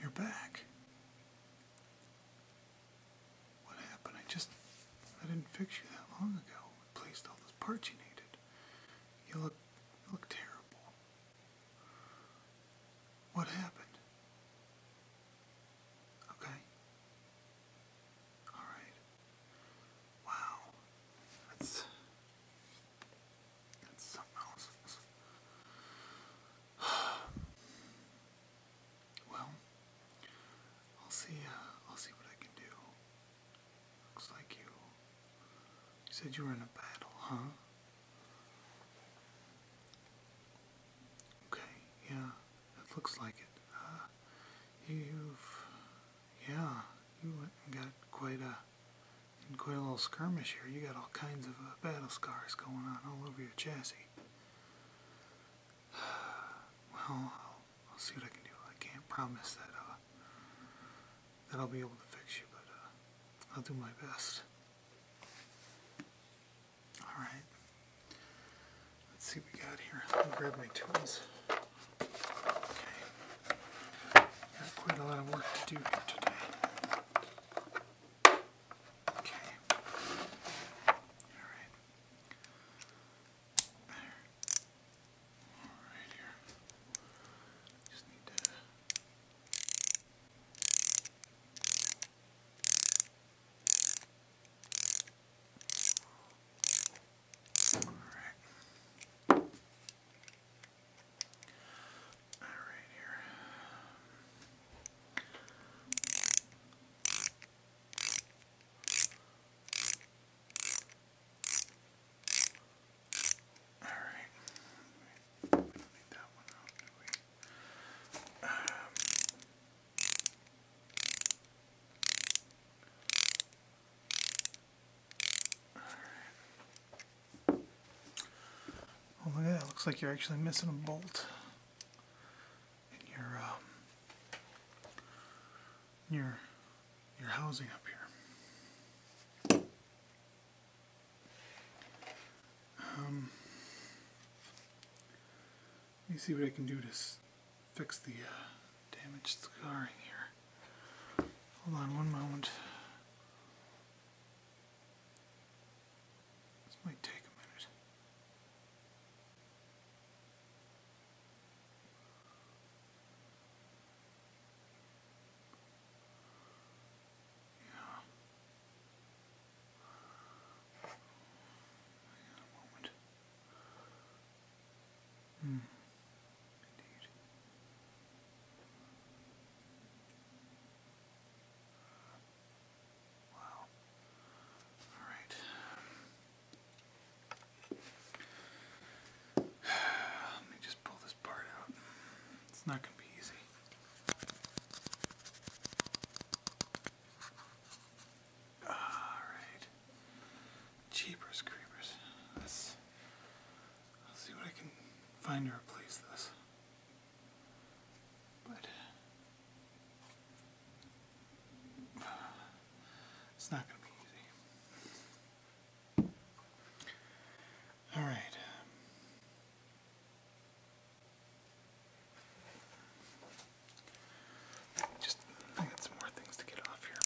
You're back. What happened? I just I didn't fix you that long ago. placed all those parts you needed. You look you look terrible. What happened? Okay. All right. Wow. That's that's something else. well, I'll see. Uh, I'll see what I can do. Looks like you. said you were in a battle, huh? Okay. Yeah, it looks like it. Uh, you've yeah, you went and got quite a quite a little skirmish here. You got all kinds of uh, battle scars going on all over your chassis. Well, I'll, see what I can do. I can't promise that uh, that I'll be able to fix you, but uh, I'll do my best. All right. Let's see what we got here. Let me grab my tools. Okay. Got quite a lot of work to do here today. Okay. Alright. There. Alright here. Just need to Okay. Alright. Alright here. Alright. We don't need that one out, do we? Um, Oh, look at Looks like you're actually missing a bolt in your, um, your, your housing up here. Um, let me see what I can do to fix the uh, damaged scarring here. Hold on one moment. This might take a minute. Yeah. Hang on a moment. Mm, Wow. All right. Let me just pull this part out. It's not going to be easy. Alright. Jeepers creepers. Let's, see what I can find to replace this. But it's not going to be easy. Alright. Just I got some more things to get off here.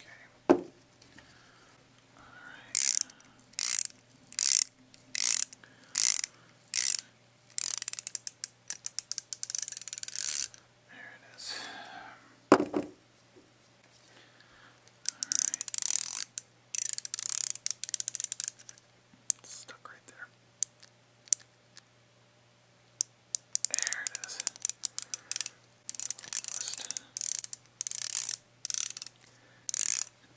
Okay. Alright. There it is. Alright. It's stuck right there. There it is.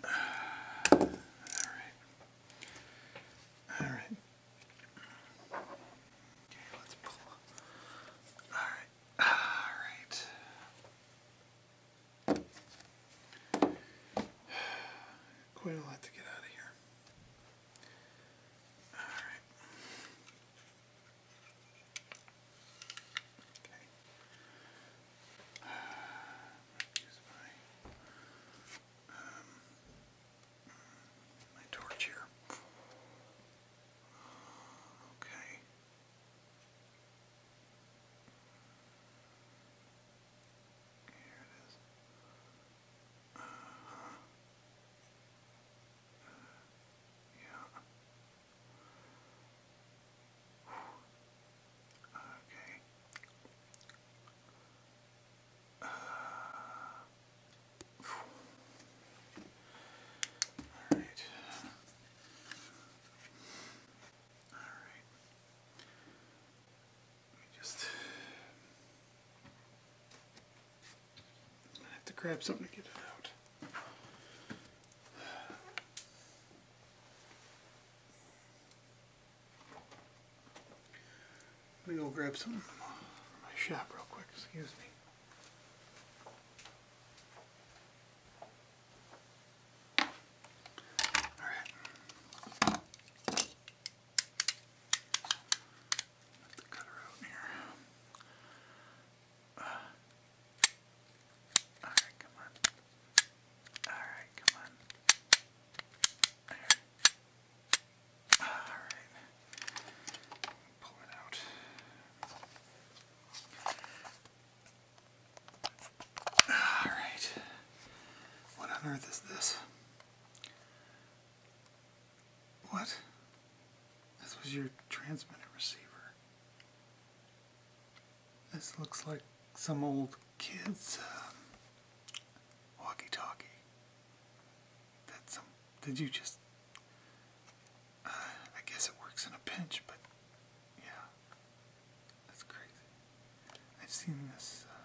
Uh, all right. All right. Okay, let's pull. All right. All right. Quite a lot to get out of here. Alright. Okay. use my, um, my torch here. Okay. Here it is. Uh -huh. Yeah. Okay. Uh, Alright. Alright. Let me just. have to grab something to get it out. Let me go grab some from my shop real quick, excuse me. All right. Let the cutter out here. Uh, all right, come on. All right, come on. All right. All right. Pull it out. Alright. What on earth is this? What? This was your transmitter receiver. This looks like some old kid's um, walkie talkie. That's some. Did you just. Uh, I guess it works in a pinch, but yeah. That's crazy. I've seen this uh,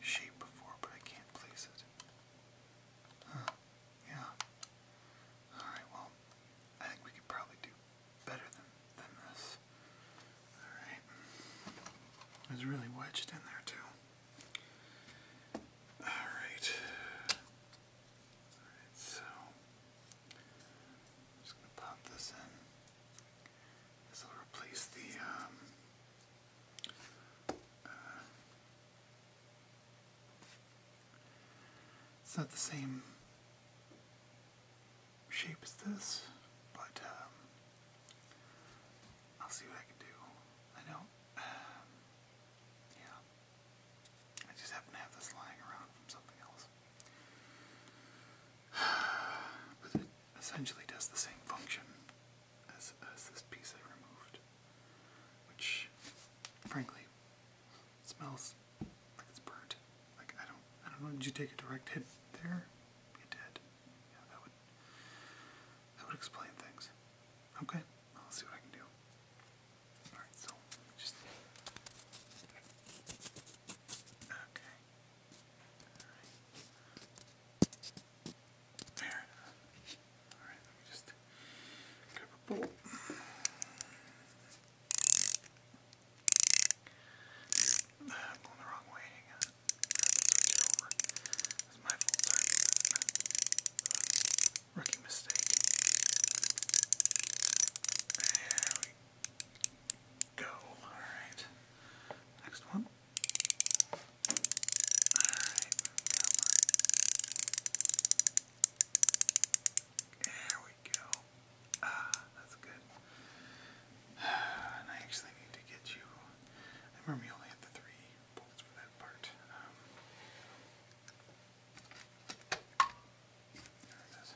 shape before, but I can't place it. Yeah. Alright, well, I think we could probably do better than, than this. Alright. It's really wedged in there, too. Alright. Alright, so just going to pop this in. This will replace the um, uh, it's not the same shape as this, but um, I'll see what I can do. I know, um, yeah. I just happen to have this lying around from something else. But it essentially does the same function as, this piece I removed, which, frankly, smells like it's burnt. Like I don't, I don't know. Did you take a direct hit there? You did. Yeah, that would, that would explain things. Okay, I'll see what I can do. Alright, so just. Okay. Alright. let me just grab a ah, I'm going the wrong way. Hang That's my fault. Uh, rookie mistake. There we Go. Alright. Next one. Alright. There we go. Ah, that's good. I actually need to get you. I remember you only had the three bolts for that part. Um, there it is.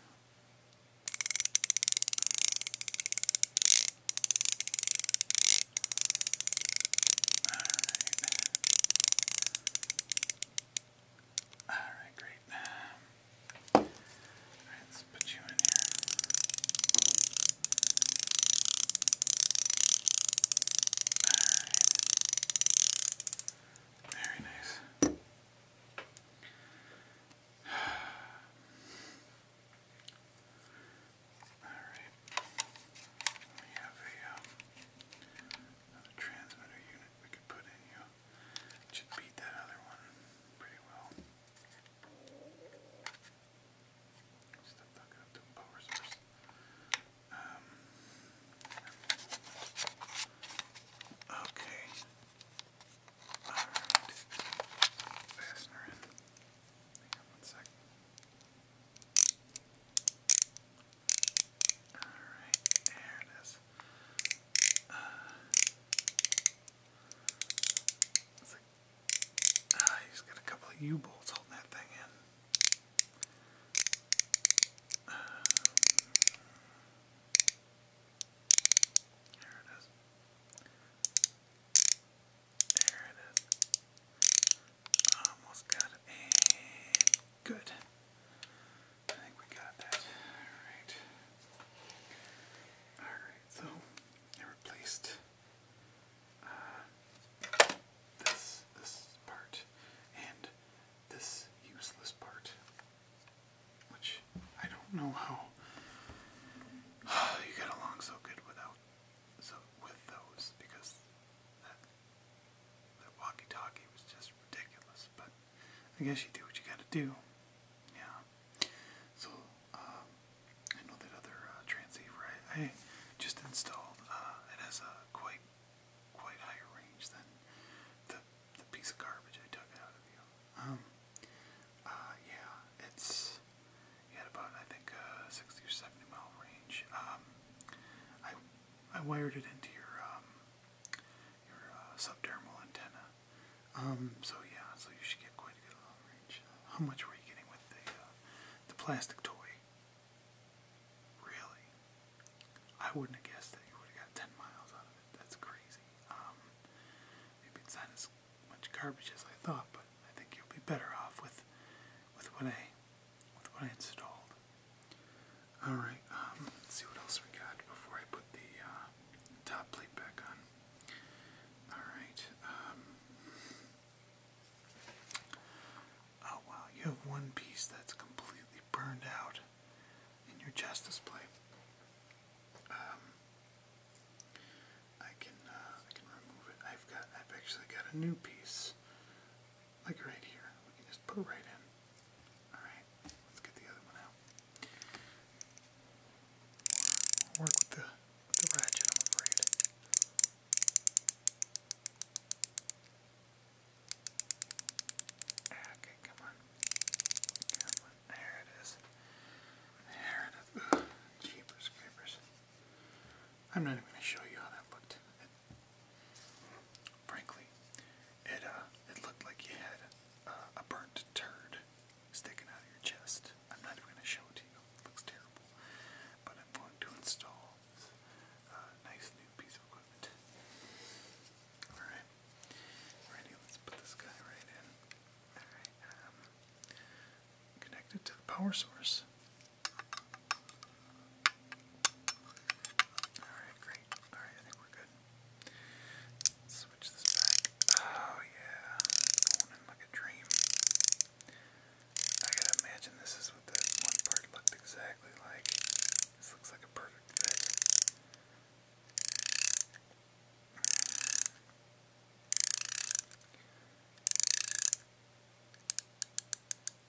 All right. All right, great. All right, let's put you in here. All right. Very nice. Alright. We have a uh, transmitter unit we could put in you. should beat that other one pretty well. Stop talking up to power source. Um, Okay. Alright. Fastener in. Hang on Alright, there it is. ah, you just got a couple of U bolts holding that thing in. There it is. There it is. Almost got it. good. I think we got that. Alright. Alright, so replaced this this part and this useless part which I don't know how you get along so good without so with those because that walkie-talkie was just ridiculous. But I guess you do what you got to do. Yeah. So um, I know that other uh, transceiver I, just installed. Uh, it has a quite quite higher range than the the piece of garbage I took out of you. Um, uh, yeah, it's had about I think uh, 60 or 70 mile range. Um, I I wired it into your um, your uh, subdermal antenna. Um, so yeah, so you should get quite good range. How much were you getting with the uh, the plastic toy? Really? I wouldn't have guessed that you would have got 10 miles out of it. That's crazy. Um, maybe it's not as much garbage as I thought, but I think you'll be better off with with what I with what I installed. All right. Um, let's see what else we got before I put the uh, top plate back on. All right. Um, oh wow, you have one piece that's completely burned out in your justice plate. Um, I can uh, I can remove it. I've got I've actually got a new piece, like right here. We can just put right in. All right, let's get the other one out. work with the ratchet. Okay, come on. Come on. There it is. There it is. jeepers creepers. I'm not even going to show you how that looked. frankly, it uh, it looked like you had uh, a burnt turd sticking out of your chest. I'm not even going to show it to you. looks terrible. But I'm going to install it's uh, nice new piece of equipment. Alright. Ready, let's put this guy right in. Alright, um, to the power source. Alright, great. Alright, I think we're good. Switch this back. Oh, yeah. It's like a dream. I gotta imagine this is what that one part looked exactly like. This looks like a perfect fit.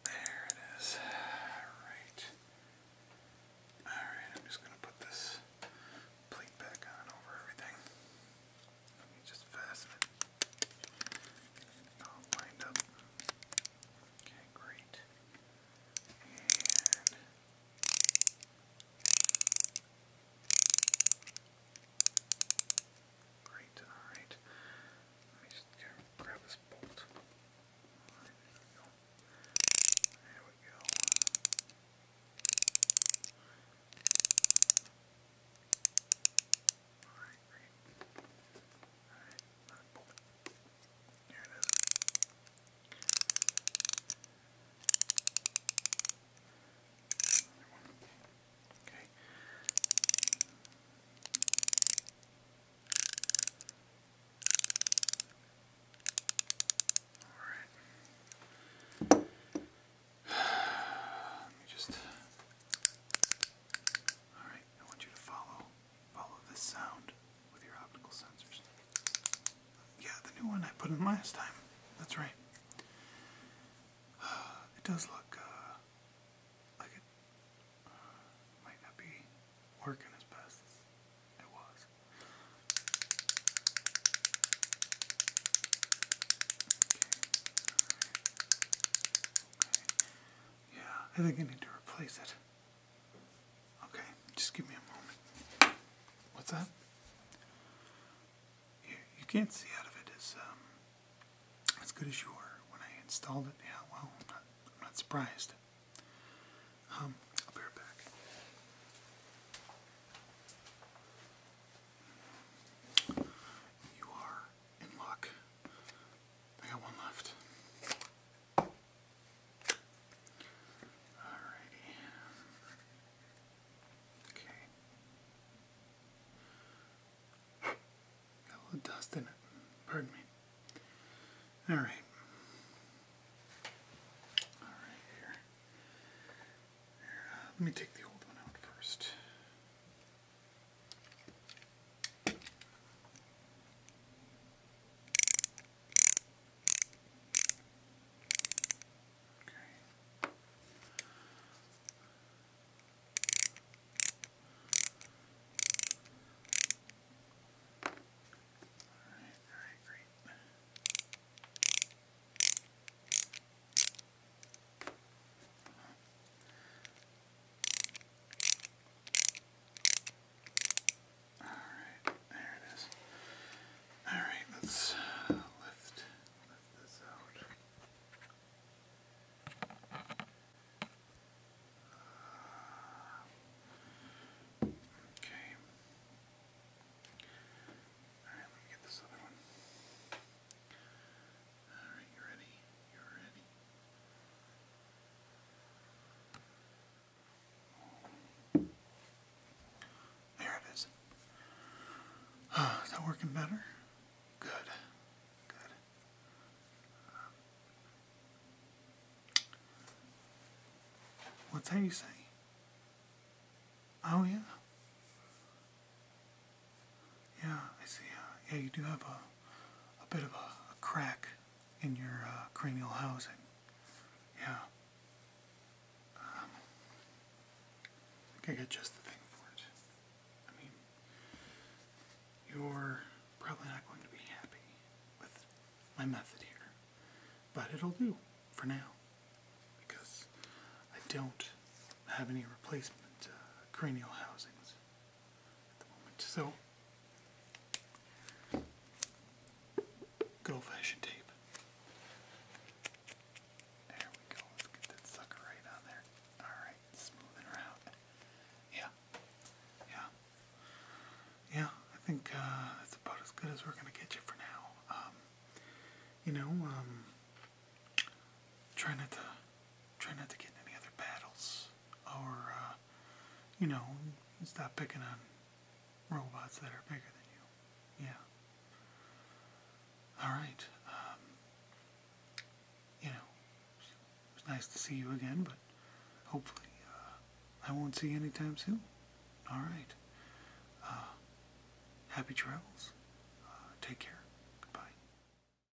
There it is. Alright. Alright, I'm just going to put this plate back on over everything. Let me just fasten it. all lined up. Okay, great. Great, alright. Let me just grab this bolt. Alright, there we go. There we go. Alright, great. Alright, another bolt. Here it is. Another one. Okay. All right. Let me just. All right. I want you to follow Follow this sound with your optical sensors. Yeah, the new one I put in last time. That's right. it does look uh, like it uh, might not be working as best it was. Yeah, I think I need to replace it. Okay, just give me a moment. What's that? You, can't see out of it as um, as good as you were when I installed it. Yeah, well, I'm not, surprised. Um, I'll be right back. You are in luck. They got one left. Alrighty. Okay. Got a little dust in it. Pardon me. Alright. Alright, here. here uh, let me take the old one out first. Okay. All right, all right, great. Uh -huh. Alright, there it is. Alright, let's lift, this out. Uh, okay. Alright, let me get this other one. Alright, you ready? You ready? There it is. Ah, is that working better? Good. Good. what's that saying? Oh, yeah. Yeah, I see. yeah, you do have a, a bit of a, crack in your uh, cranial housing. Yeah. Um, I can I got just the thing for it. I mean, you're probably not going to be happy with my method here, but it'll do for now because I don't have any replacement uh, cranial housings. So, good old fashioned tape. There we go. Let's get that sucker right on there. Alright, smoothing her out. Yeah. Yeah. Yeah, I think uh, that's about as good as we're going to get you for now. Um, you know, um, try not to try not to get in any other battles or uh, you know, stop picking on robots that are bigger than you. Yeah. All right. Um, you know, it was nice to see you again, but hopefully uh, I won't see you time soon. All right. Uh, happy travels. take care.